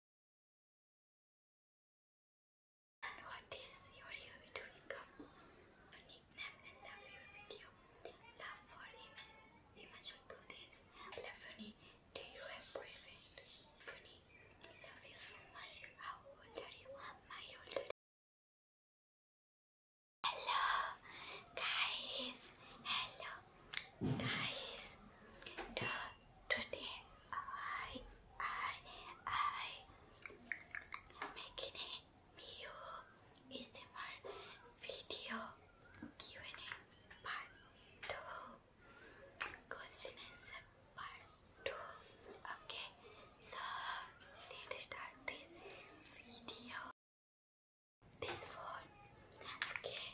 what is your hobby to become? Unique name video. Love for Himachal Pradesh. Love funny. Do you have boyfriend? Funny. Love you so much. How old are you? My older. Hello, guys. Hello, guys. Duh today I I I making a new ASMR video Q&A part 2 question answer part 2 okay so let's start this video this phone okay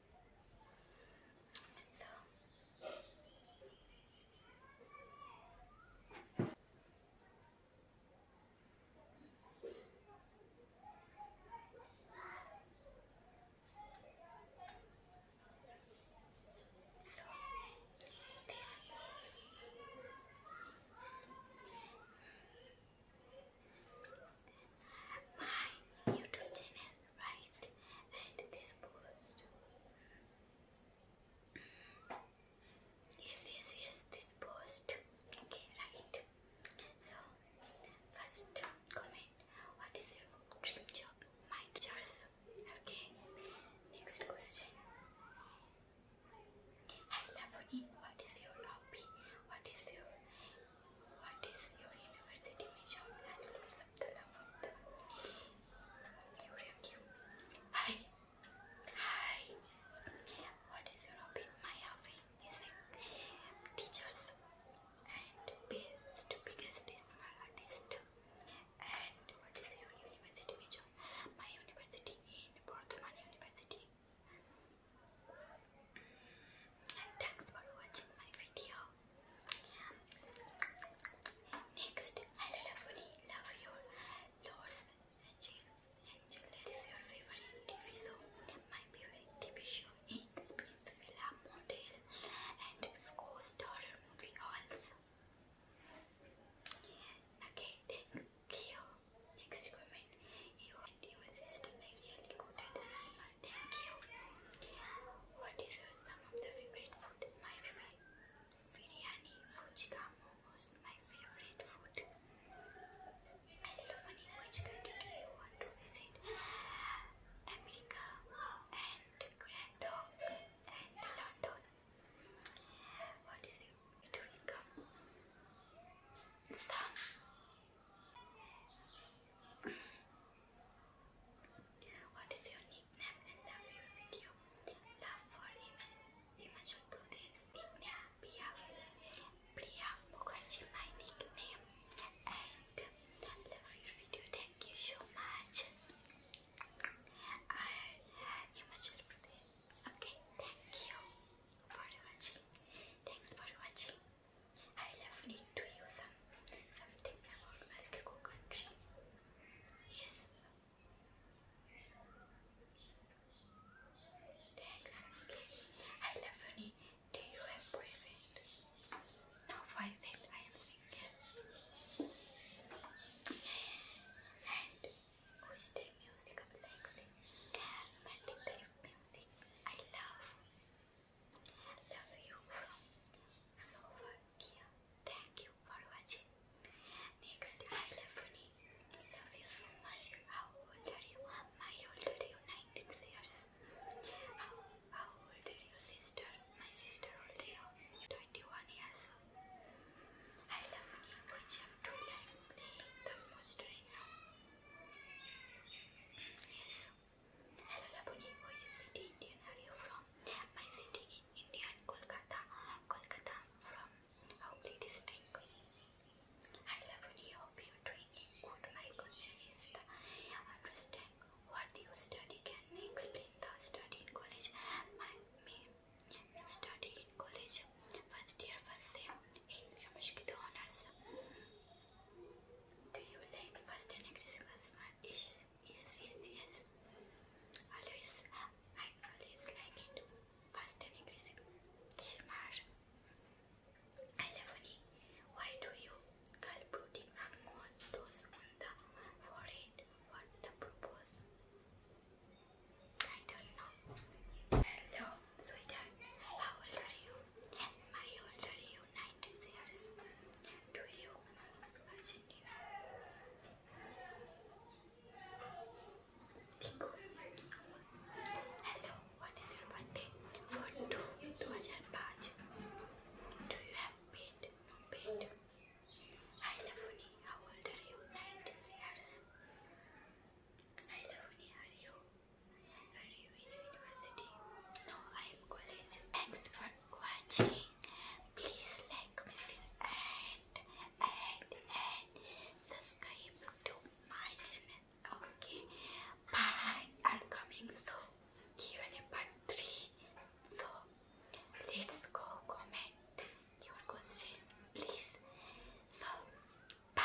my YouTube channel right and this post yes yes yes this post okay right so first comment what is your dream job my yours okay next question Hi Lavani, what is your hobby? What is your what is your university major Abdullah from the new review. Hi. Hi. What is your hobby? My hobby is teachers and best biggest artist. And what is your university major? My university in Bordhaman University. And thanks for watching my video. Next, I lovely love your Lord's Angel. Angel, that is your favorite TV show. My favorite TV show is Space Villa Motel and Ghost Horror movie also. Okay, thank you. Next comment. You and your sister are really good at us. Thank you. What is some of the favorite food? My favorite biryani, fujika, momos, my favorite food. Hello funny, which country do you want to visit? America and Grand Dog and London. What is your to Some what is your nickname and love your video? Love for Himachal Pradesh. Nickname Priya. Priya Mukherjee, my nickname. And love your video. Thank you so much. I Himachal Pradesh. Okay, thank you for watching. Thanks for watching. I love need to you some Something about Mexico country. Yes. Thanks. Okay. I love funny. Do you have boyfriend? No boyfriend. I am single. And which type music I'm music. I love. Love you from Slovakia. Thank you for watching. Next, I love Funny. Love you so much. How old are you? My old are you? 19 years. How, how old are you, sister? My sister old are 21 years. I love you. Which have to learn playing the most right now. Yes. Hello Laboni, where is your city Indian are you from? My city in India and Kolkata. Kolkata from How do Hogli district. Hi Laboni, hope you're doing good. My question is the understand what you study. Can you explain the study in college? My me, me study in college. First year, first sem in Sanskrit honors. Do you like first and My Is Yes, yes, yes. Always, I always like it fast and aggressive. Smart. Eleven. Why do you call putting small dose on the forehead? What the purpose? I don't know. Hello, sweetheart. How are you? My old are it is years to you, Argentina. Tico. Hello, what is your birthday? For two, two thousand Do you have paid? No paid. Hi, Lavuni. How old are you? Ninety years. Hi, Lavuni. Are you? Are you in university? No, I am college. Thanks for watching. Please like and and and subscribe to my channel. Okay. Bye. i coming soon. q and three. So let's go comment your question, please. So bye.